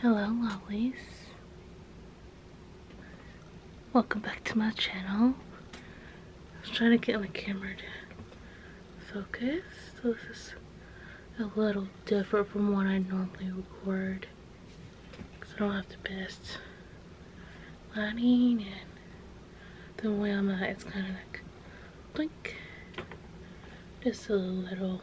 Hello lovelies. Welcome back to my channel. I was trying to get my camera to focus. So this is a little different from what I normally record. Because I don't have the best lighting and the way my it's kind of like blink. Just a little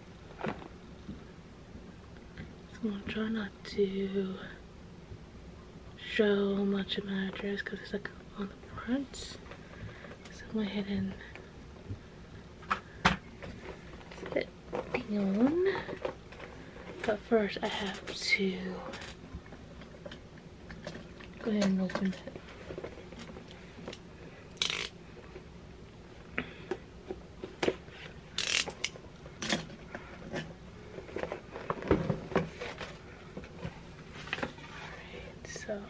I'm gonna try not to show much of my dress because it's like on the front. So I'm gonna head and sit down. But first I have to go ahead and open it so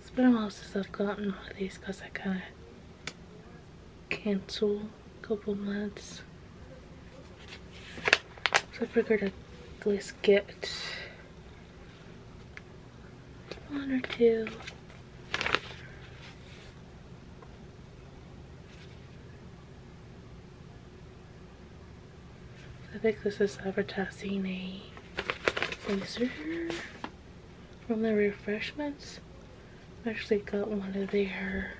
it's been a while since I've gotten all these because I kind of canceled a couple months. So I figured I'd at least get one or two. I think this is advertising a laser from the refreshments. I actually got one of their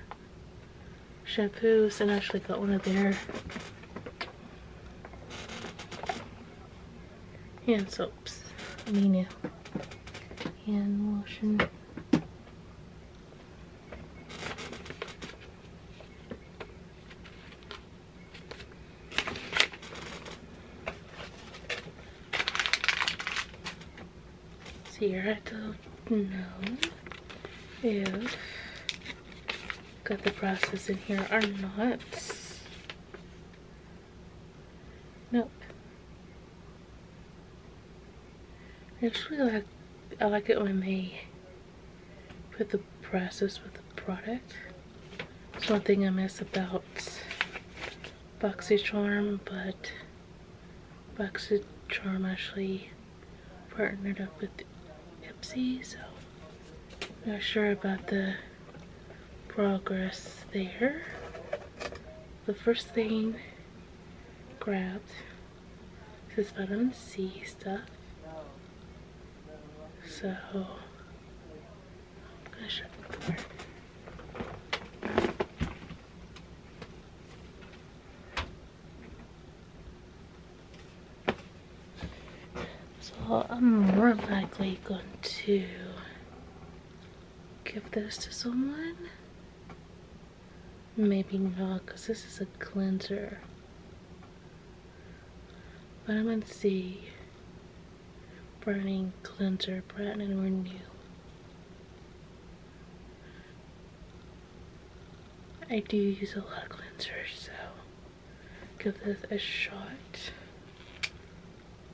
shampoos and I actually got one of their hand soaps, Minu, hand lotion. So here I got the process in here are not. Nope. Actually, I like, I like it when they put the process with the product. It's one thing I miss about BoxyCharm, but BoxyCharm actually partnered up with Pepsi, so not sure about the progress there. The first thing grabbed is this vitamin C stuff. So I'm gonna shut the so I'm more likely going to give this to someone. Maybe not, because this is a cleanser. Vitamin C Burning Cleanser Brighten and Renew. I do use a lot of cleanser, so give this a shot.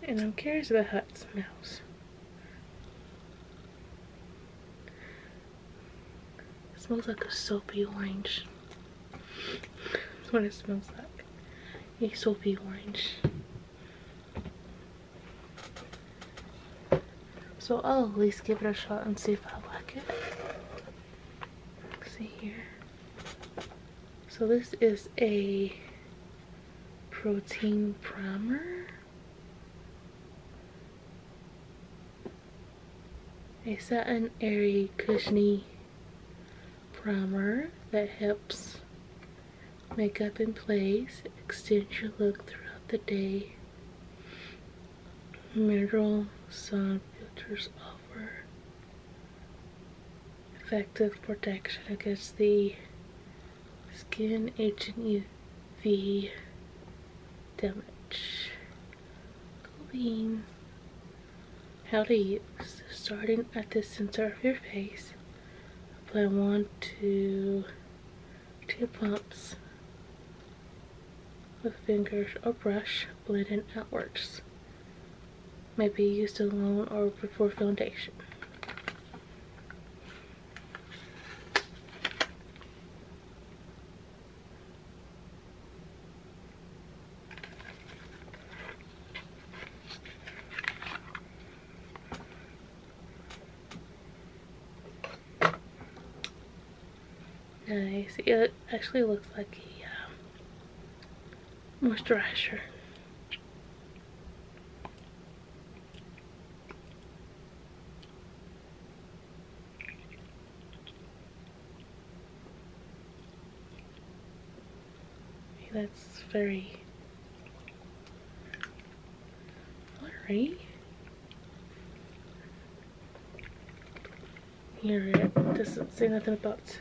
And I'm curious about how it smells. It smells like a soapy orange. That's what it smells like. A soapy orange. So I'll at least give it a shot and see if I like it see here. So this is a protein primer. A satin airy cushiony primer that helps makeup in place, extend your look throughout the day, mineral sun filters offer effective protection against the skin H and UV damage. Clean. How to use. Starting at the center of your face, apply one to two pumps with fingers or brush blending outwards. May be used alone or before foundation. Nice. It actually looks like a um, moisturizer. That's very fluttery. Here it doesn't say nothing about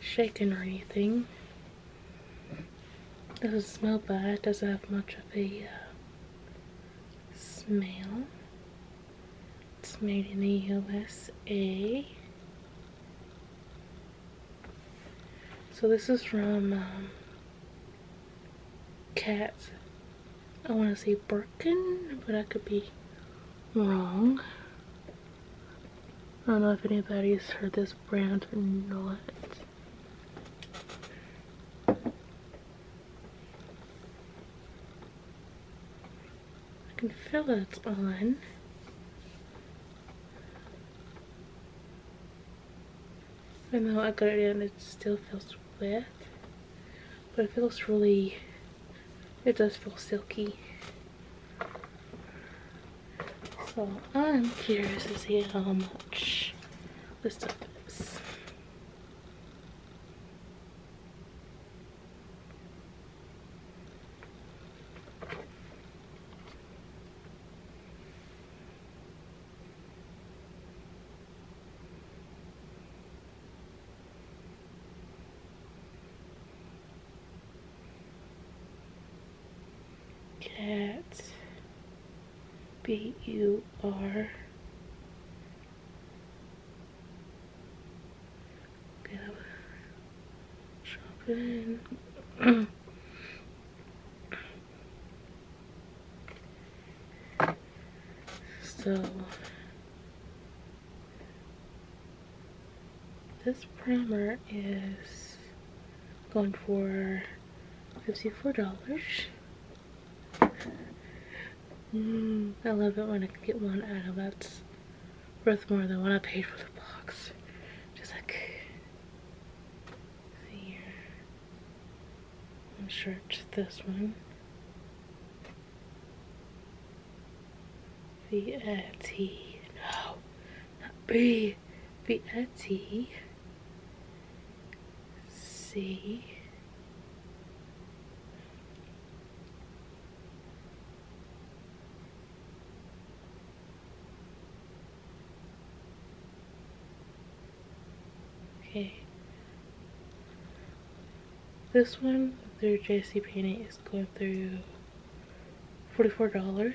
shaking or anything. Doesn't smell bad, doesn't have much of a uh, smell. It's made in the USA. So this is from Cats. Um, I want to say Birkin, but I could be wrong. I don't know if anybody's heard this brand or not. I can feel it's on. Even though I got it in, it still feels wet. But it feels really, it does feel silky. So I'm curious to see how much this stuff is. Cat. B U R so this primer is going for $54 mm, I love it when I get one out of that worth more than what I paid for the box. Just like I'm sure it's this one. Vietti. No, not Okay. This one through JC Penney is going through $44.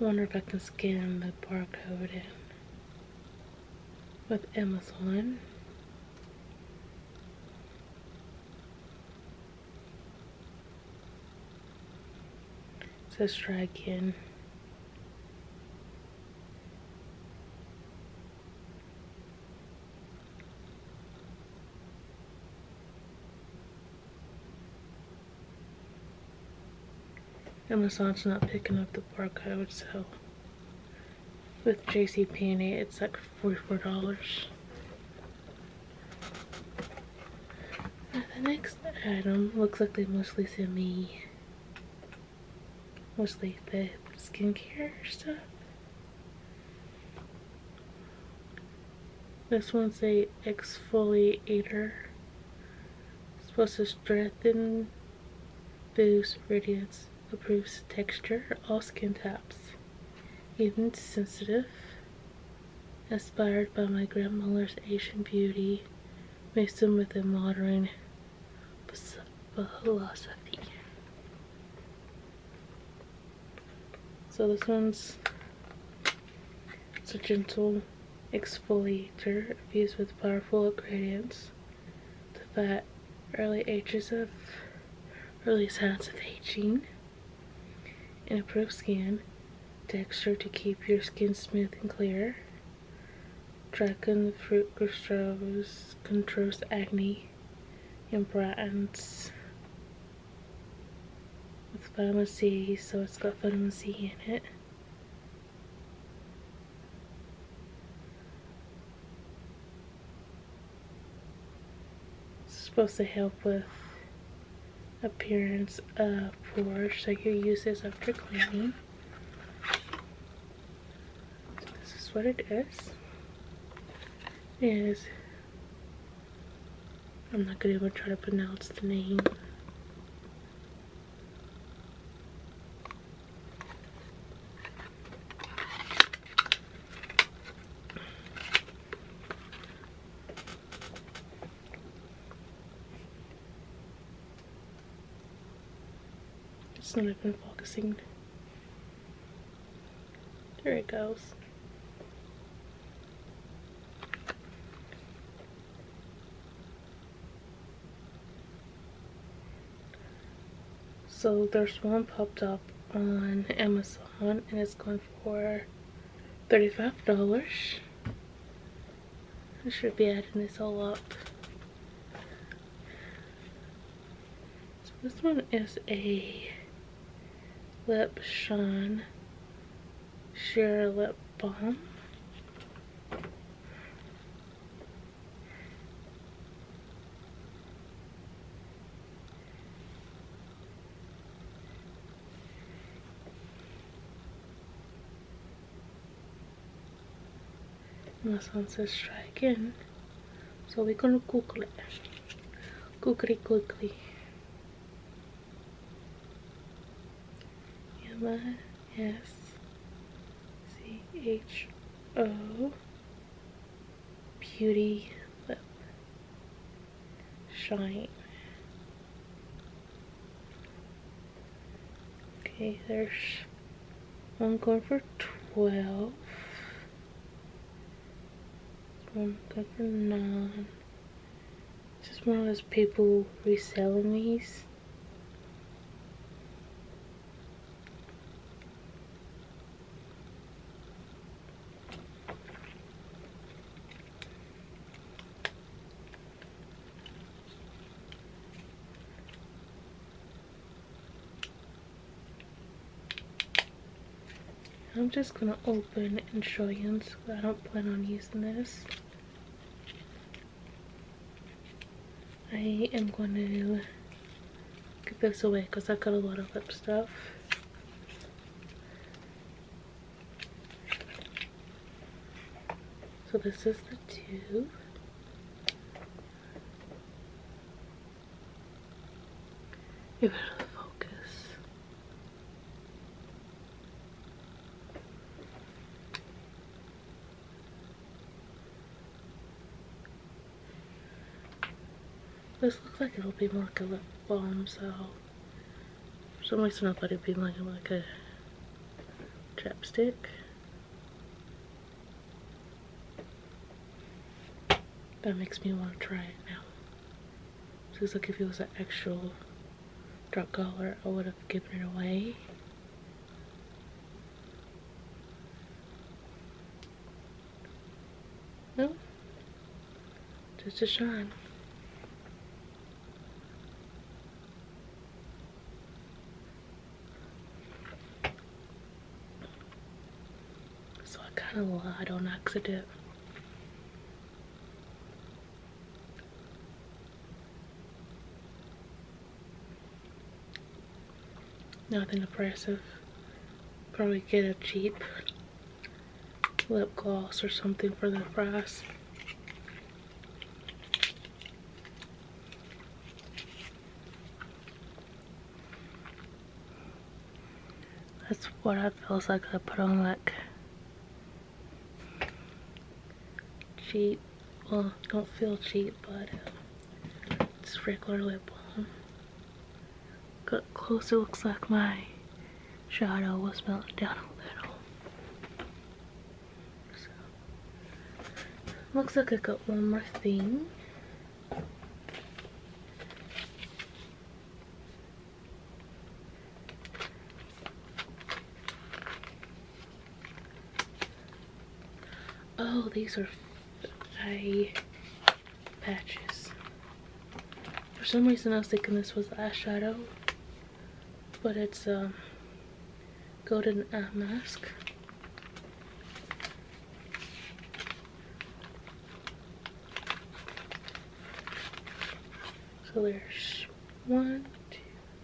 wonder if I can scan the barcode in with Amazon. So it's a try again. Amazon's not picking up the barcode, so with JCPenney it's like $44. the next item looks like they mostly sent me mostly the skincare stuff. This one's a exfoliator. supposed to strengthen Boost Radiance approves texture, all skin types. Even sensitive, inspired by my grandmother's Asian beauty, mixed in with a modern philosophy. So this one's it's a gentle exfoliator infused with powerful ingredients to fight early ages of early signs of aging and improve skin texture to keep your skin smooth and clear. Dragon fruit controls, controls acne and brightens with vitamin C, so it's got vitamin C in it. It's supposed to help with appearance of pores so you use this after cleaning this is what it is. it is I'm not gonna even try to pronounce the name it's not even focusing. There it goes. So there's one popped up on Amazon and it's going for $35. I should be adding this all up. So this one is a lip shine Charlotte lip balm and says try again so we gonna cook it cookly cookly M S C H O Beauty Lip Shine. Okay, there's one going for 12, one going for 9, just one of those people reselling these. I'm just gonna open and show you I don't plan on using this. I am going to get this away because I've got a lot of lip stuff. So this is the tube. You better focus. This looks like it'll be more like a lip balm, so for some reason to thought it'd be like, a chapstick. That makes me want to try it now. Because like if it was an actual drug collar, I would have given it away. No, just a shine. So I kind of lied on accident. Nothing impressive. Probably get a cheap lip gloss or something for the price. That's what it feels like I put on like cheap, well don't feel cheap but um, it's regular lip balm. Got close it looks like my shadow was melting down a little. So, looks like I got one more thing. Oh, these are eye patches. For some reason I was thinking this was the eyeshadow, but it's a um, golden eye mask. So there's one, two,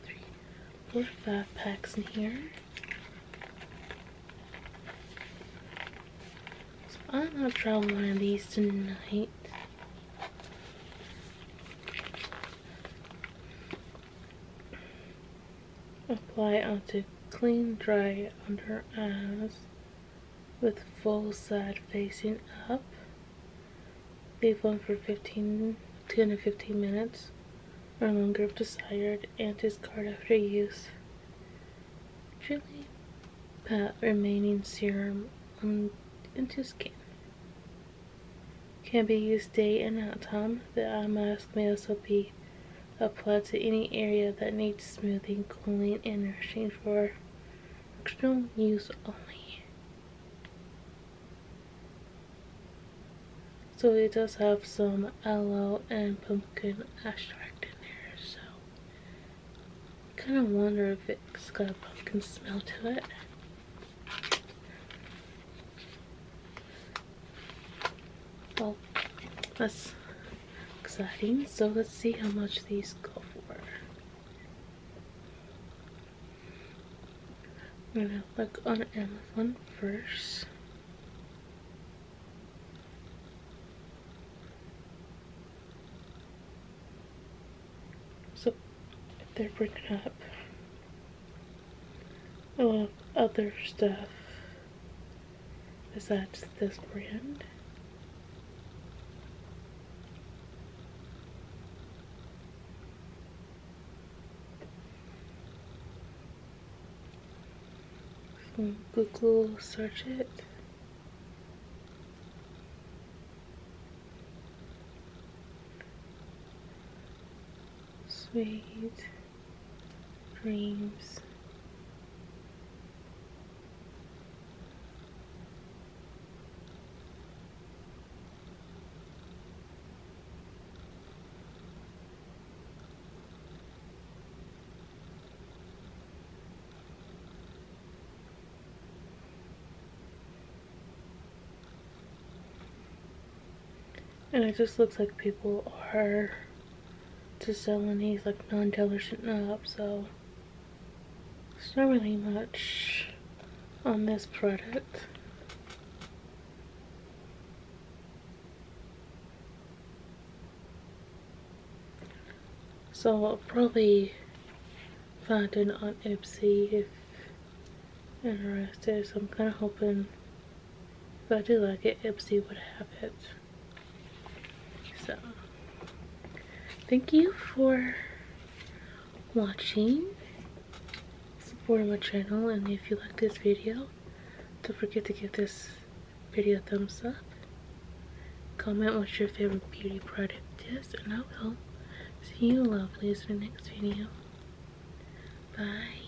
three, four, five packs in here. I'm gonna try one of these tonight. Apply onto clean, dry under eyes with full side facing up. Leave on for 15, 10 to 15 minutes or longer if desired and discard after use. Gently pat remaining serum on, into skin. Can be used day and night time. The eye mask may also be applied to any area that needs smoothing, cooling, and nourishing for External use only. So it does have some aloe and pumpkin extract in there, so kind of wonder if it's got a pumpkin smell to it. Well, let's exciting. So let's see how much these go for. I'm gonna look on Amazon first. So if they're bringing up other stuff is that this brand. Google search it. Sweet dreams. And it just looks like people are to sell, and he's like non-dealer shit so there's not really much on this product so I'll probably find it on Ipsy if interested so I'm kind of hoping if I do like it Ipsy would have it so, thank you for watching, supporting my channel, and if you like this video, don't forget to give this video a thumbs up. Comment what your favorite beauty product is, and I will see you lovelies in the next video. Bye.